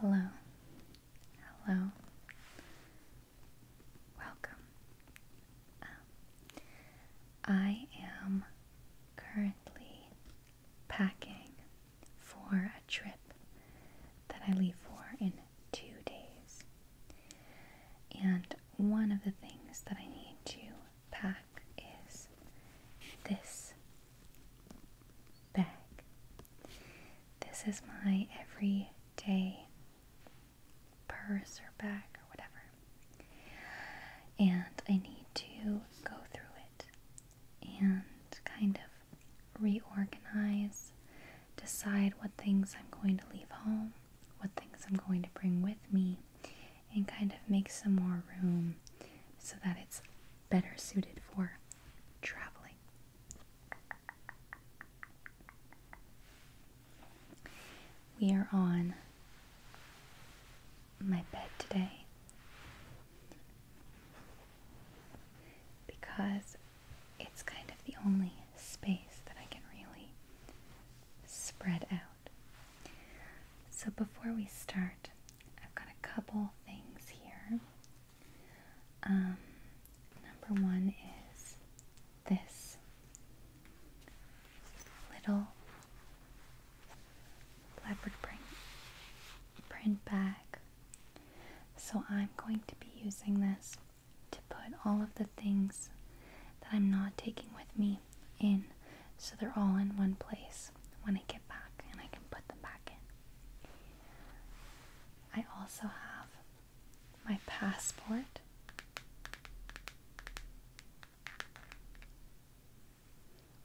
Hello. Hello. Welcome. Um, I am currently packing for a trip that I leave for in two days. And one of the things that I need to pack is this bag. This is my everyday purse or bag or whatever. And I need to go through it and kind of reorganize, decide what things I'm going to leave home, what things I'm going to bring with me, and kind of make some more room so that it's better suited for traveling. We are on my bed today because it's kind of the only space that I can really spread out. So before we start, I've got a couple things here. Um, number one is this little leopard print print bag. So I'm going to be using this to put all of the things that I'm not taking with me in so they're all in one place when I get back and I can put them back in. I also have my passport.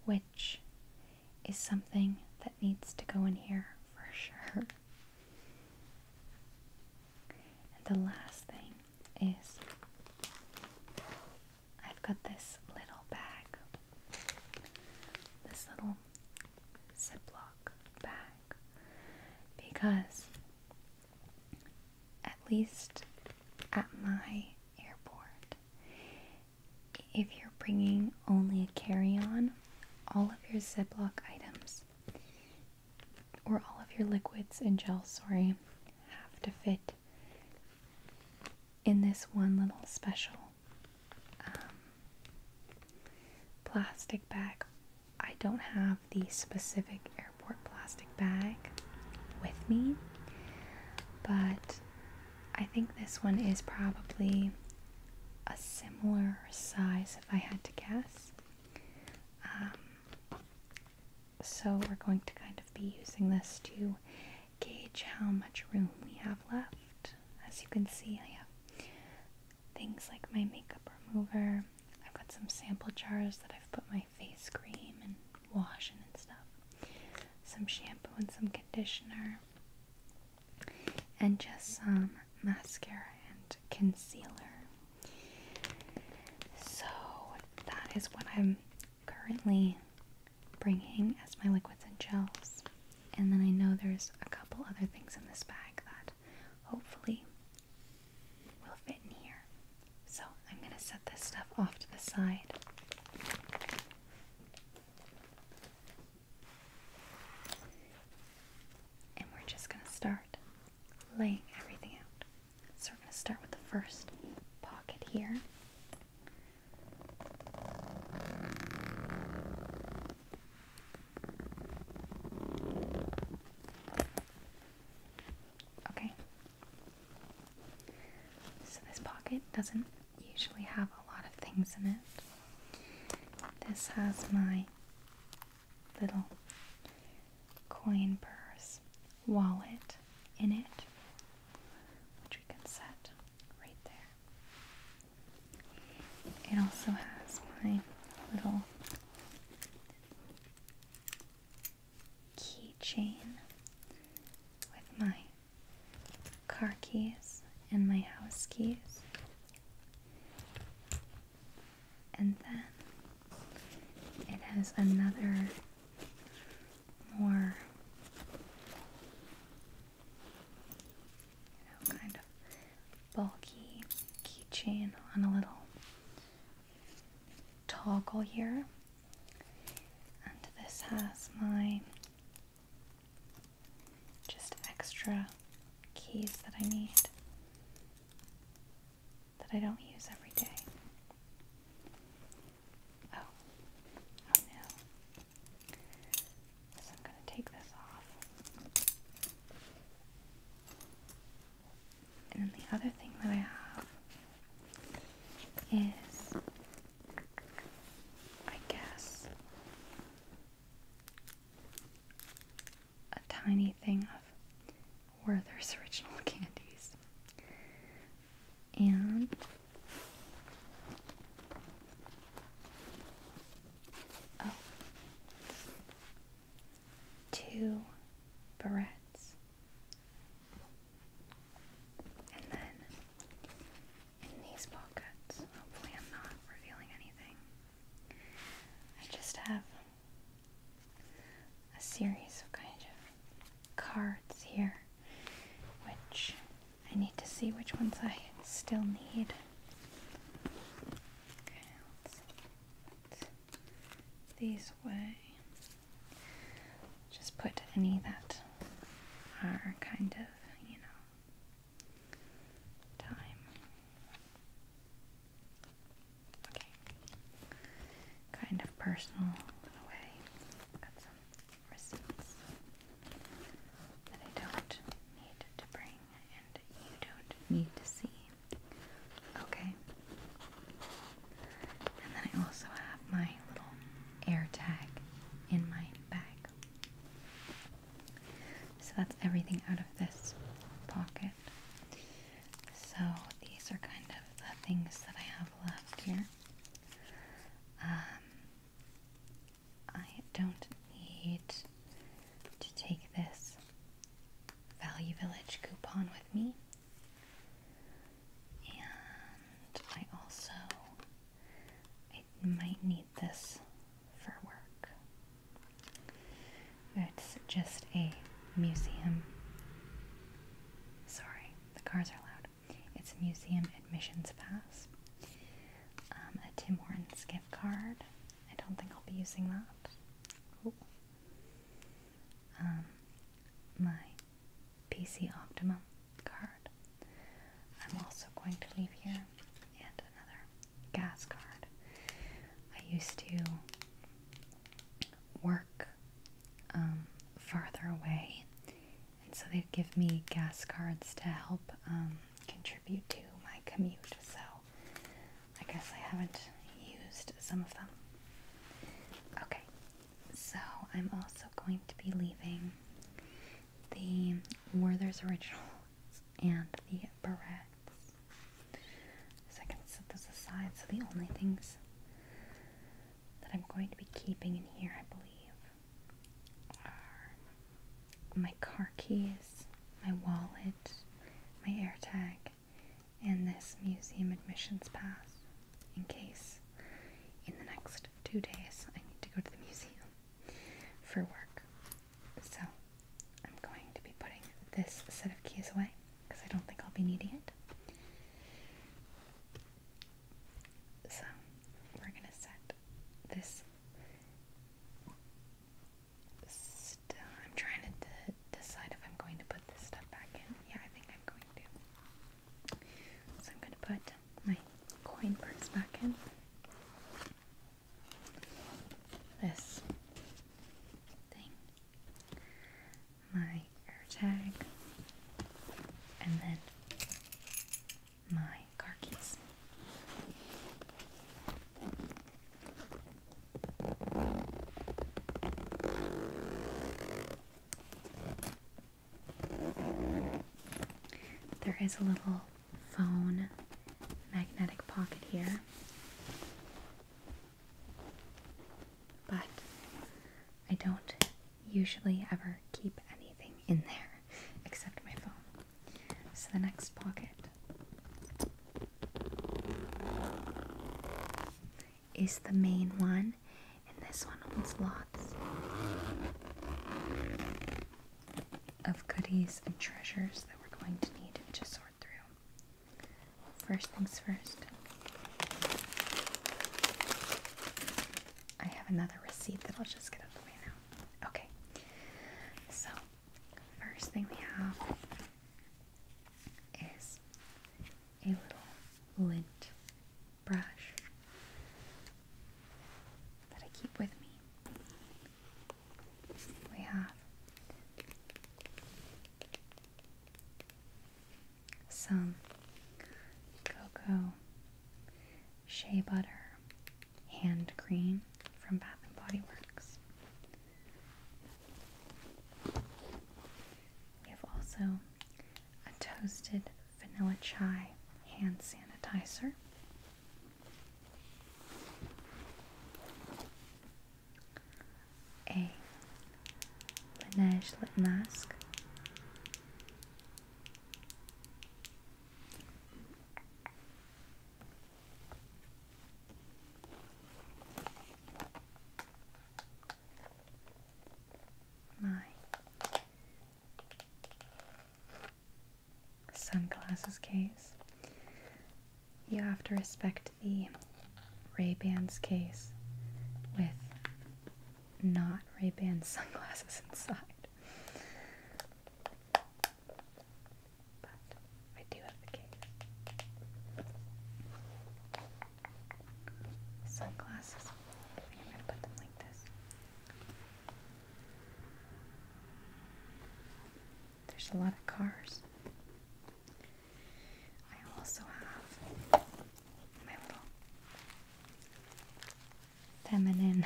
Which is something that needs to go in here for sure. And the last thing is I've got this little bag, this little Ziploc bag, because at least at my airport, if you're bringing only a carry on, all of your Ziploc items or all of your liquids and gels, sorry, have to fit in this one little special um, plastic bag. I don't have the specific airport plastic bag with me, but I think this one is probably a similar size if I had to guess. Um, so we're going to kind of be using this to gauge how much room we have left. As you can see, I have things like my makeup remover. I've got some sample jars that I've put my face cream and wash and stuff. Some shampoo and some conditioner. And just some mascara and concealer. So that is what I'm currently bringing as my liquids and gels. And then I know there's a couple other things in this bag that hopefully will fit in here. So I'm going to set this stuff off to the side. And we're just going to start laying everything out. So we're going to start with the first pocket here. Okay. So this pocket doesn't usually have a lot of things in it. This has my little coin purse wallet in it, which we can set right there. It also has my little keychain with my car keys and my house keys. And then it has another more you know, kind of bulky keychain on a little toggle here. And this has my just extra keys that I need that I don't use every day. Oh, oh no. I'm going to take this off. And the other thing that I have is, I guess, a tiny thing of Werther's original candies and oh, two barrettes, and then in these pockets, hopefully, I'm not revealing anything. I just have a series of kind of cards here which I need to see which ones I still need. these way, Just put any that are kind of, you know, time. Okay. Kind of personal way. Got some results that I don't need to bring and you don't need to see. Okay? And then I also have my little air in my bag. So that's everything out of this pocket. So these are kind of the things that I have left here. Um, I don't need to take this Value Village coupon with me. And I also might need this for work. It's just a museum. Sorry, the cars are loud. It's a museum admissions pass. Um, a Tim Hortons gift card. I don't think I'll be using that. Ooh. Um, my PC Optimum card. I'm also going to leave here and another gas card. I used to work um, farther away and so they give me gas cards to help um, contribute to my commute. So I guess I haven't used some of them. Okay, so I'm also going to be leaving the Werther's Original and the Barrettes. So I can set those aside. So the only things that I'm going to be keeping in here, I believe, are my car keys, my wallet, my AirTag, and this museum admissions pass in case in the next two days I need to go to the museum for work. So I'm going to be putting this set of keys away because I don't think I'll be needing it. So we're gonna set this I'm trying to decide if I'm going to put this stuff back in. Yeah, I think I'm going to. So I'm gonna put my coin parts back in. This thing my AirTag, and then my car keys. There is a little phone magnetic pocket here, but I don't usually ever keep anything in there except my phone. So the next pocket is the main one, and this one holds lots of goodies and treasures that we're going to need to sort through. First things first, I have another receipt that I'll just get out of the way now. Okay, so first thing we have is a little lint brush that I keep with me. We have some cocoa shea butter hand cream from Bath and Body Works. We have also a toasted vanilla chai hand sanitizer. A Benešlet mask. My sunglasses case. You have to respect the Ray-Bans case with not Ray-Ban sunglasses inside. But I do have the case. Sunglasses. I think gonna put them like this. There's a lot of cars. I also have my little feminine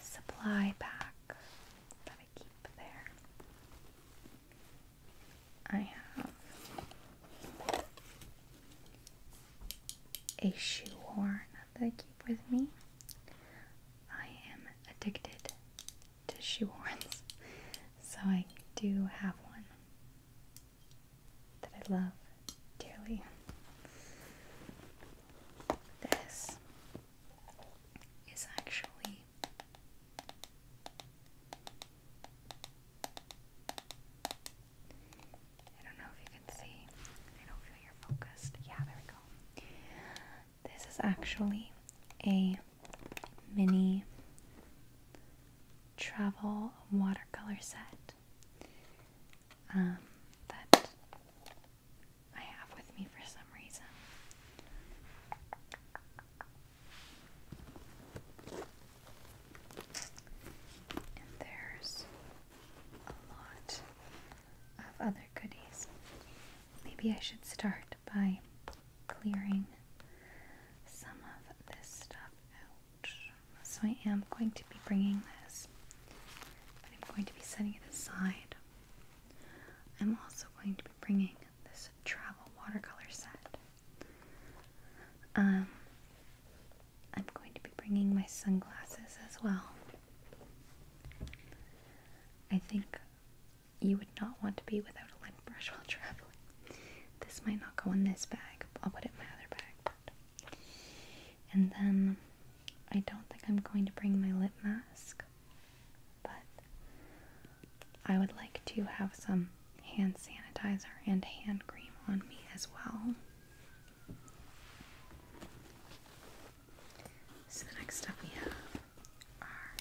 supply pack that I keep there. I have a shoehorn that I keep with me. I am addicted to shoehorns, so I do have one that I love dearly. This is actually I don't know if you can see. I don't feel you're focused. Yeah, there we go. This is actually a mini travel watercolor set um, that I have with me for some reason. And there's a lot of other goodies. Maybe I should start by clearing some of this stuff out. So I am going to be bringing this, but I'm going to be setting it aside. I'm also going to be bringing this travel watercolor set. Um, I'm going to be bringing my sunglasses as well. I think you would not want to be without a brush while traveling. This might not go in this bag. I'll put it in my other bag. And then I don't think I'm going to bring my lip mask, but I would like to have some hand sanitizer and hand cream on me as well. So the next stuff we have are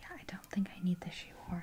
yeah, I don't think I need the shoehorn.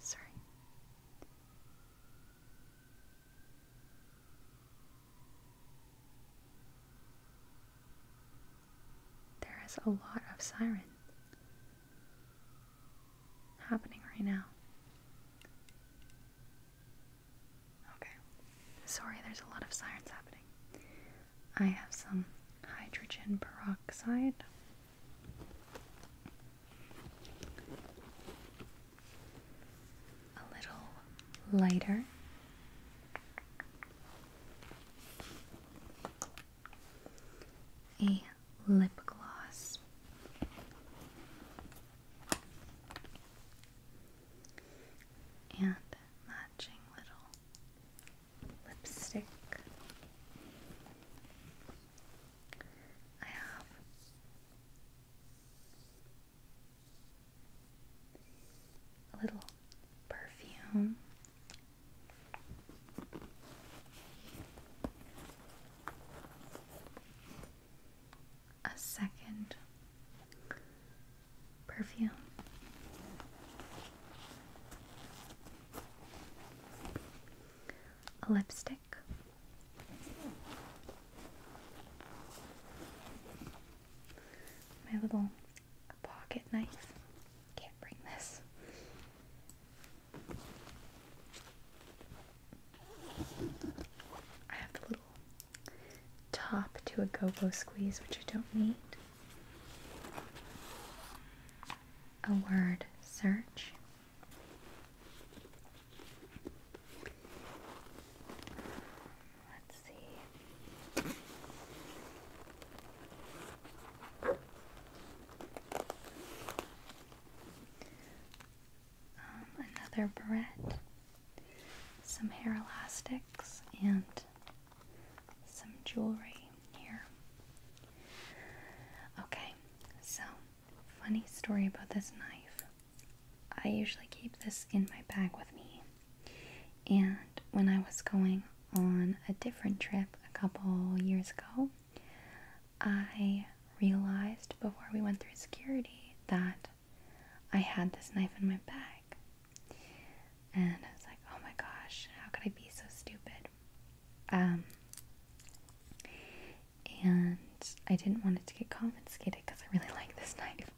Sorry. There is a lot of siren happening right now. Okay. Sorry, there's a lot of sirens happening. I have some hydrogen peroxide. A little lighter. A lip gloss. And my matching little lipstick. I have a little perfume. A second perfume. A lipstick. My little pocket knife. Can't bring this. I have the little top to a go-go squeeze, which I don't need. A word search. Let's see. Um, another bread some hair elastics, and some jewelry here. Okay, so funny story about this knife. I usually keep this in my bag with me, and when I was going on a different trip a couple years ago, I realized before we went through security that I had this knife in my bag. And I was like, oh my gosh, how could I be so stupid? Um, and I didn't want it to get confiscated because I really like this knife.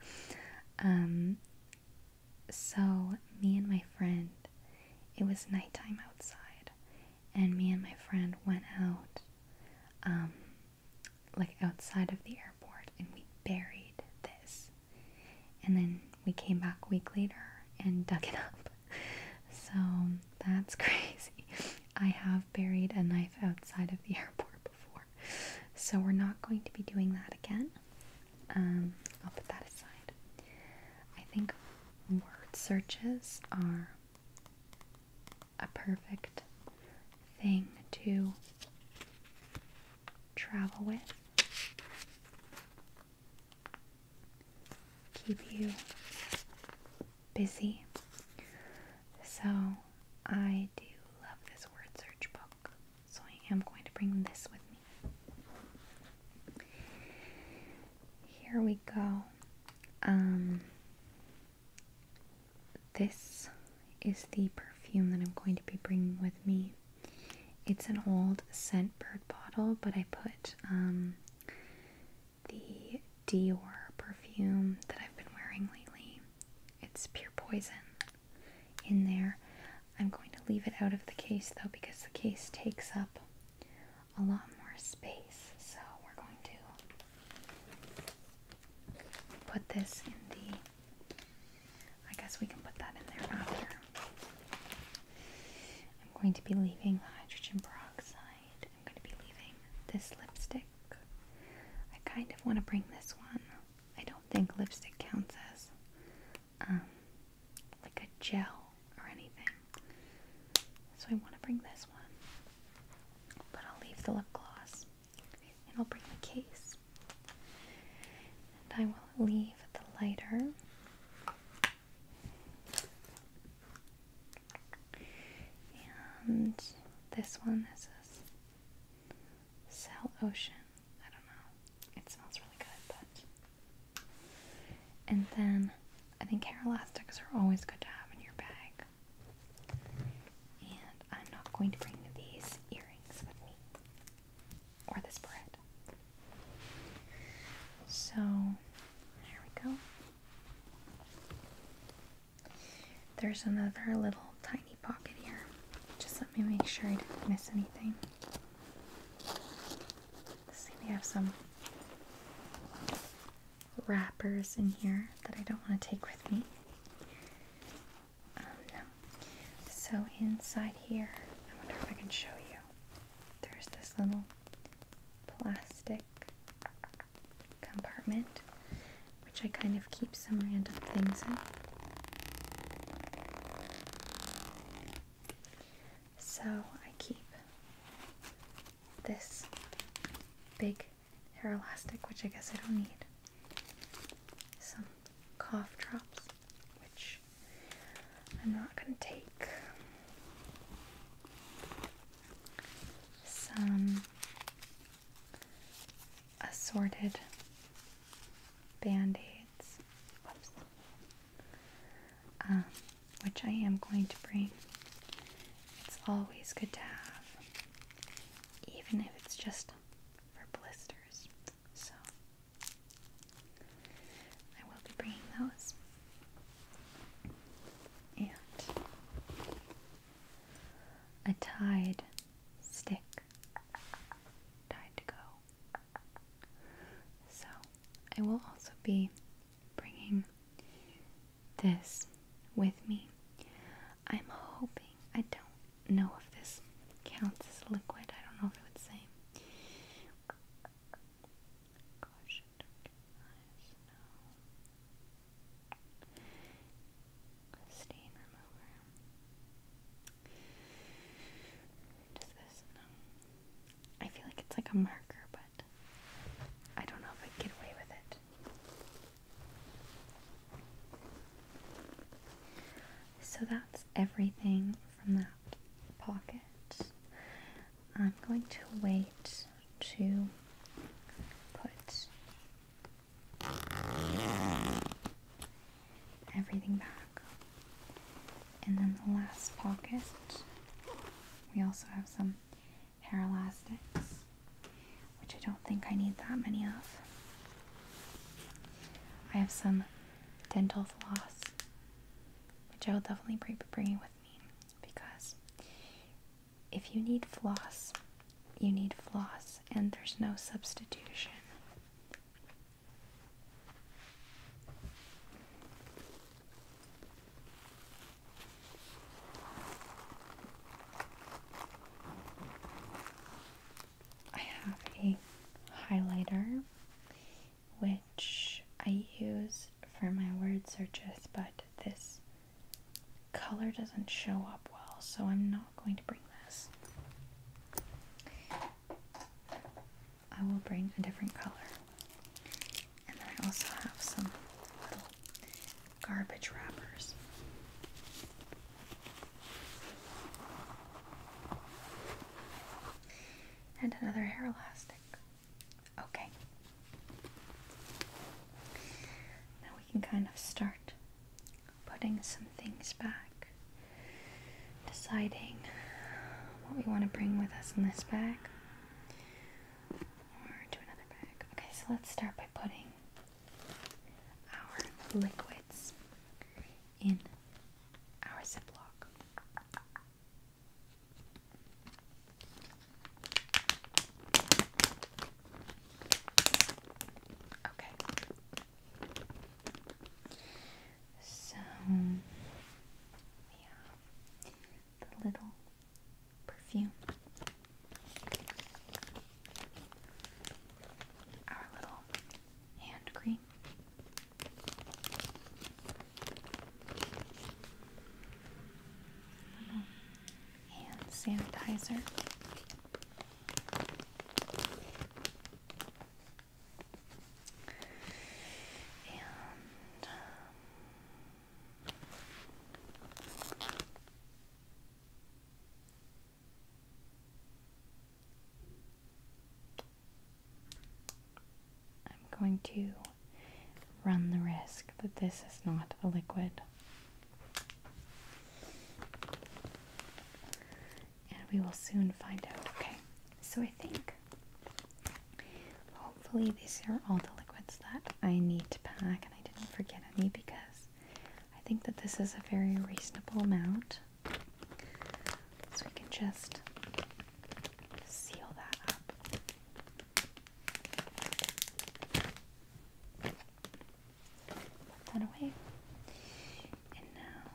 Um, so, me and my friend, it was nighttime outside, and me and my friend went out um, like outside of the airport and we buried this. And then we came back a week later and dug it up. So that's crazy. I have buried a knife outside of the airport before. So we're not going to be doing that again. Um, I'll put that aside. I think word searches are a perfect thing to travel with. Keep you busy. So, I do love this word search book, so I am going to bring this with me. Here we go. Um, this is the perfume that I'm going to be bringing with me. It's an old scent bird bottle, but I put um, the Dior perfume that I've been wearing lately. It's pure poison in there. I'm going to leave it out of the case though because the case takes up a lot more space. So we're going to put this in the I guess we can put that in there after. I'm going to be leaving the hydrogen peroxide. I'm going to be leaving this lipstick. I kind of want to bring this one. I don't think lipstick counts as um, like a gel or anything. So I want to bring this one. But I'll leave the lip gloss and I'll bring the case. And I will leave the lighter and this one this is Cell Ocean. I don't know. It smells really good, but and then I think hair elastics are always good to have in your bag. And I'm not going to bring these earrings or this bread. So there we go. There's another little tiny pocket here. Just let me make sure I didn't miss anything. see, we have some wrappers in here that I don't want to take with me no. So inside here, I wonder if I can show you. There's this little plastic compartment, which I kind of keep some random things in. So I keep this big hair elastic, which I guess I don't need. Some cough drops, which I'm not going to take. Some assorted band aids, um, which I am going to bring. It's always good to have, even if it's just for blisters. So I will be bringing those. And a tied stick tied to go. So I will also be bringing this with me. I'm hoping I don't no, if this counts as liquid. I don't know if it would say. Stain Does this no? I feel like it's like a marker, but I don't know if I get away with it. So that's everything from that pocket. I'm going to wait to put everything back. And then the last pocket, we also have some hair elastics which I don't think I need that many of. I have some dental floss, which I will definitely bring bringing with me because if you need floss, you need floss, and there's no substitution. I have a highlighter which I use for my word searches, but this color doesn't show up well, so I'm not going to bring this. I will bring a different color. And then I also have some garbage wrappers. And another hair elastic. Okay. Now we can kind of start putting some things back, deciding what we want to bring with us in this bag or to another bag. Okay, so let's start by putting our liquids in our Ziploc. Okay. So we the little perfume. Our little hand cream. hand sanitizer. And um, I'm going to run the risk that this is not a liquid. And we will soon find out. Okay, so I think hopefully these are all the liquids that I need to pack and I didn't forget any because I think that this is a very reasonable amount. So we can just seal that up. Put that away. And now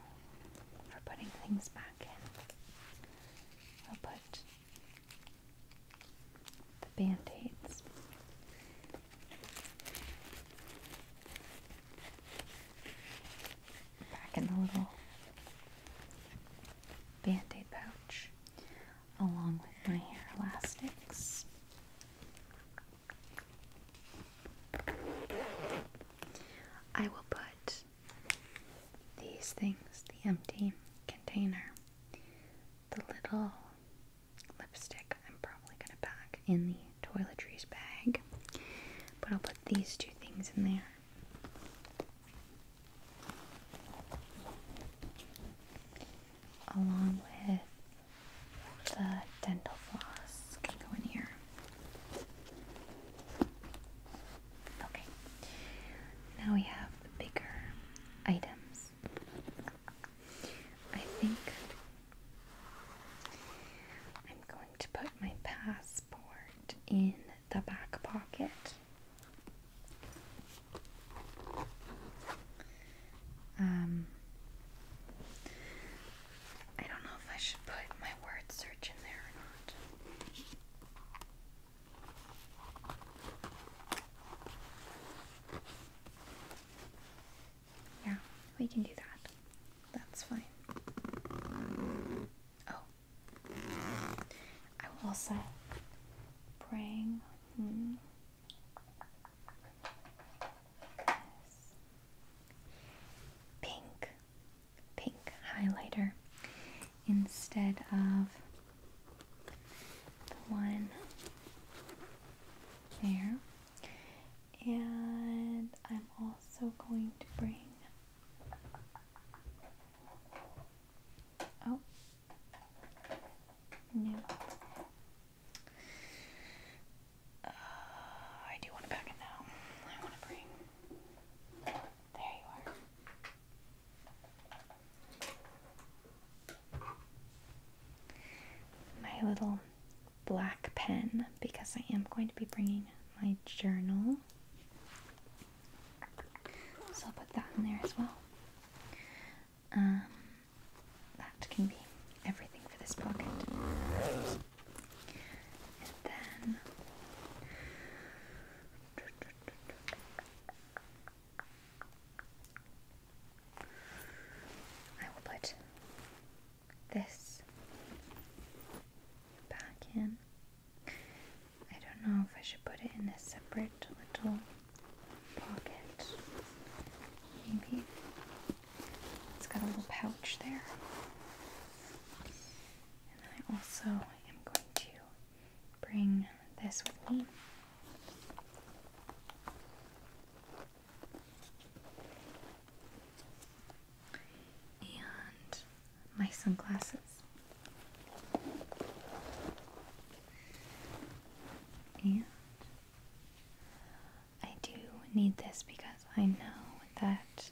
for putting things back in, we'll put the band-aids. Back in the little band-aid pouch, along with my hair elastics. I will put these things, the empty container, the little lipstick I'm probably going to pack in the toiletries bag. But I'll put these two things in there. Along with the dental floss can go in here. Okay, now we have the bigger items. I think I'm going to put my passport in the back pocket. Um, I don't know if I should put my word search in there or not. Yeah, we can do that. That's fine. Oh. i will say, praying. Hmm. Pink, pink highlighter instead of the one there. And I'm also going to bring oh no. Uh, I do want to back it now. I want to bring. There you are my little black pen because I am going to be bringing my journal. So I'll put that in there as well. Um, that can be everything for this pocket. And then. I will put this back in. I don't know if I should put it in a separate little pocket. Maybe. It's got a little pouch there. And I also am going to bring this with me. And my sunglasses. And I do need this because I know that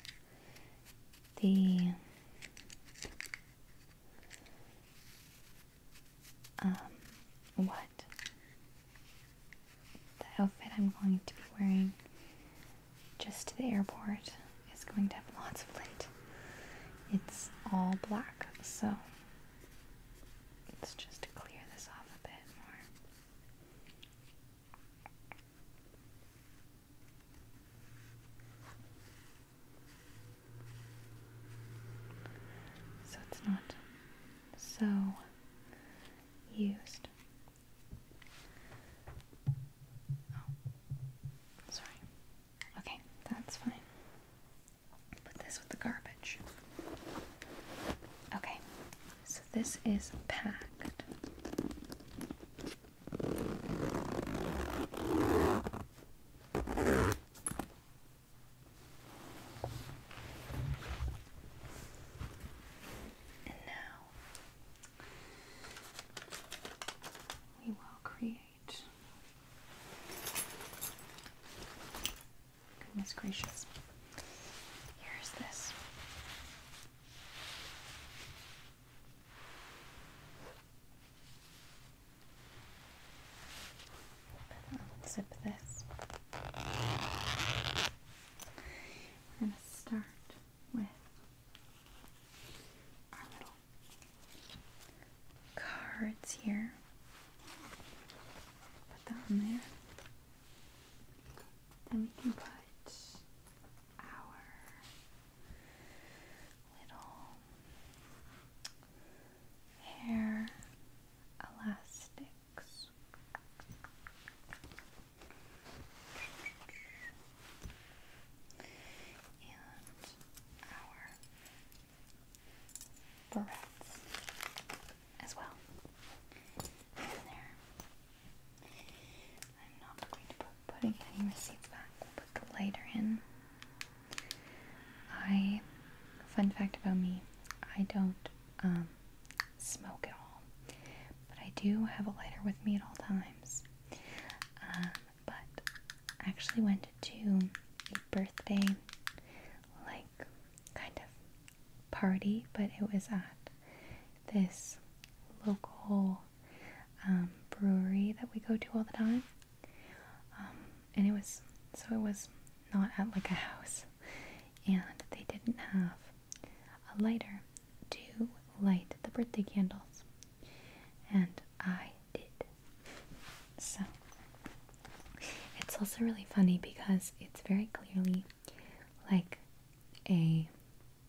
the um, what the outfit I'm going to be wearing just to the airport is going to have lots of lint. It's all black, so let's just clear this off a bit more. So it's not so used. Oh, sorry. Okay, that's fine. Put this with the garbage. Okay, so this is packed now we will create. Goodness gracious. Here's this i zip this. We're going to start with our little cards here. Put that on there. Then we can put our little hair elastics. And our barrettes as well. there. I'm not going to put any receipts back. put the lighter in I, fun fact about me, I don't um, smoke at all, but I do have a lighter with me at all times. Um, but I actually went to a birthday, like, kind of party, but it was at this local um, brewery that we go to all the time. Um, and it was so it was not at like a house, and they didn't have a lighter to light the birthday candles, and I did. So it's also really funny because it's very clearly like a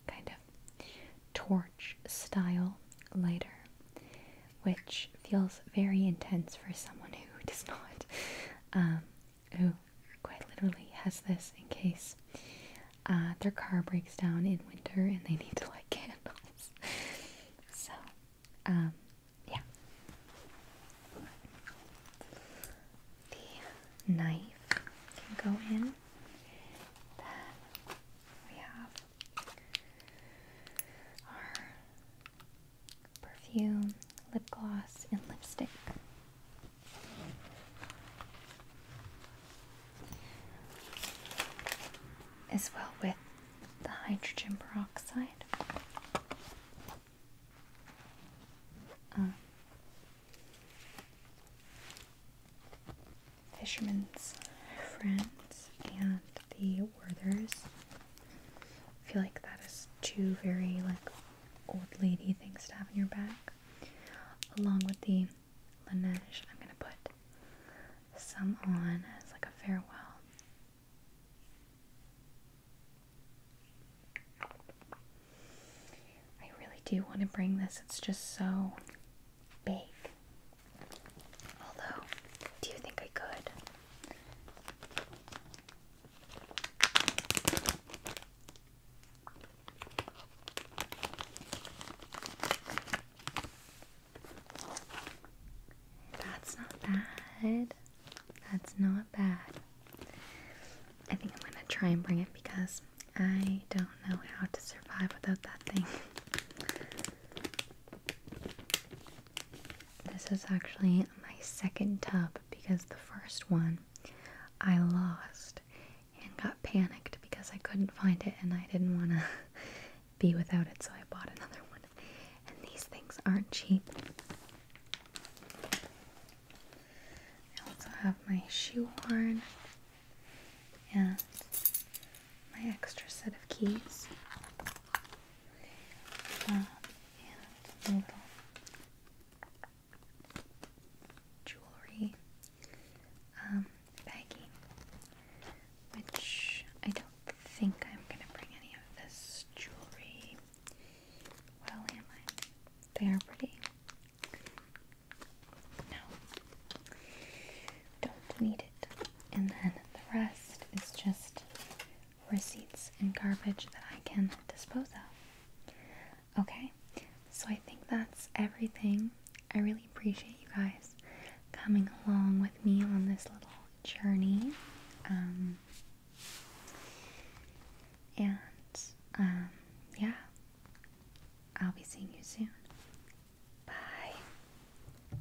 kind of torch style lighter which feels very intense for someone who does not, um, who quite literally has this in case uh, their car breaks down in winter and they need to light candles. so, um, yeah. The knife can go in. Then we have our perfume, lip gloss, and lipstick. As well with the hydrogen peroxide. Um, Fisherman's Friends and the Werther's. I feel like that is two very like old lady things to have in your bag. Along with the Laneige, I'm gonna put some on as like a farewell. I really do want to bring this, it's just so big. Although, do you think I could? That's not bad. That's not bad. I think I'm gonna try and bring it because I don't know how to survive without that thing. This is actually my second tub because the first one I lost and got panicked because I couldn't find it and I didn't want to be without it, so I bought another one. And these things aren't cheap. I also have my shoe horn and my extra set of keys jewelry um, which I don't think I'm going to bring any of this jewelry. Well, am I? They are pretty. No, don't need and then the rest is just receipts and garbage that I can dispose of. Okay, so I think that's everything. I really appreciate you guys coming along with me on this little journey. Um, and um, yeah, I'll be seeing you soon. Bye.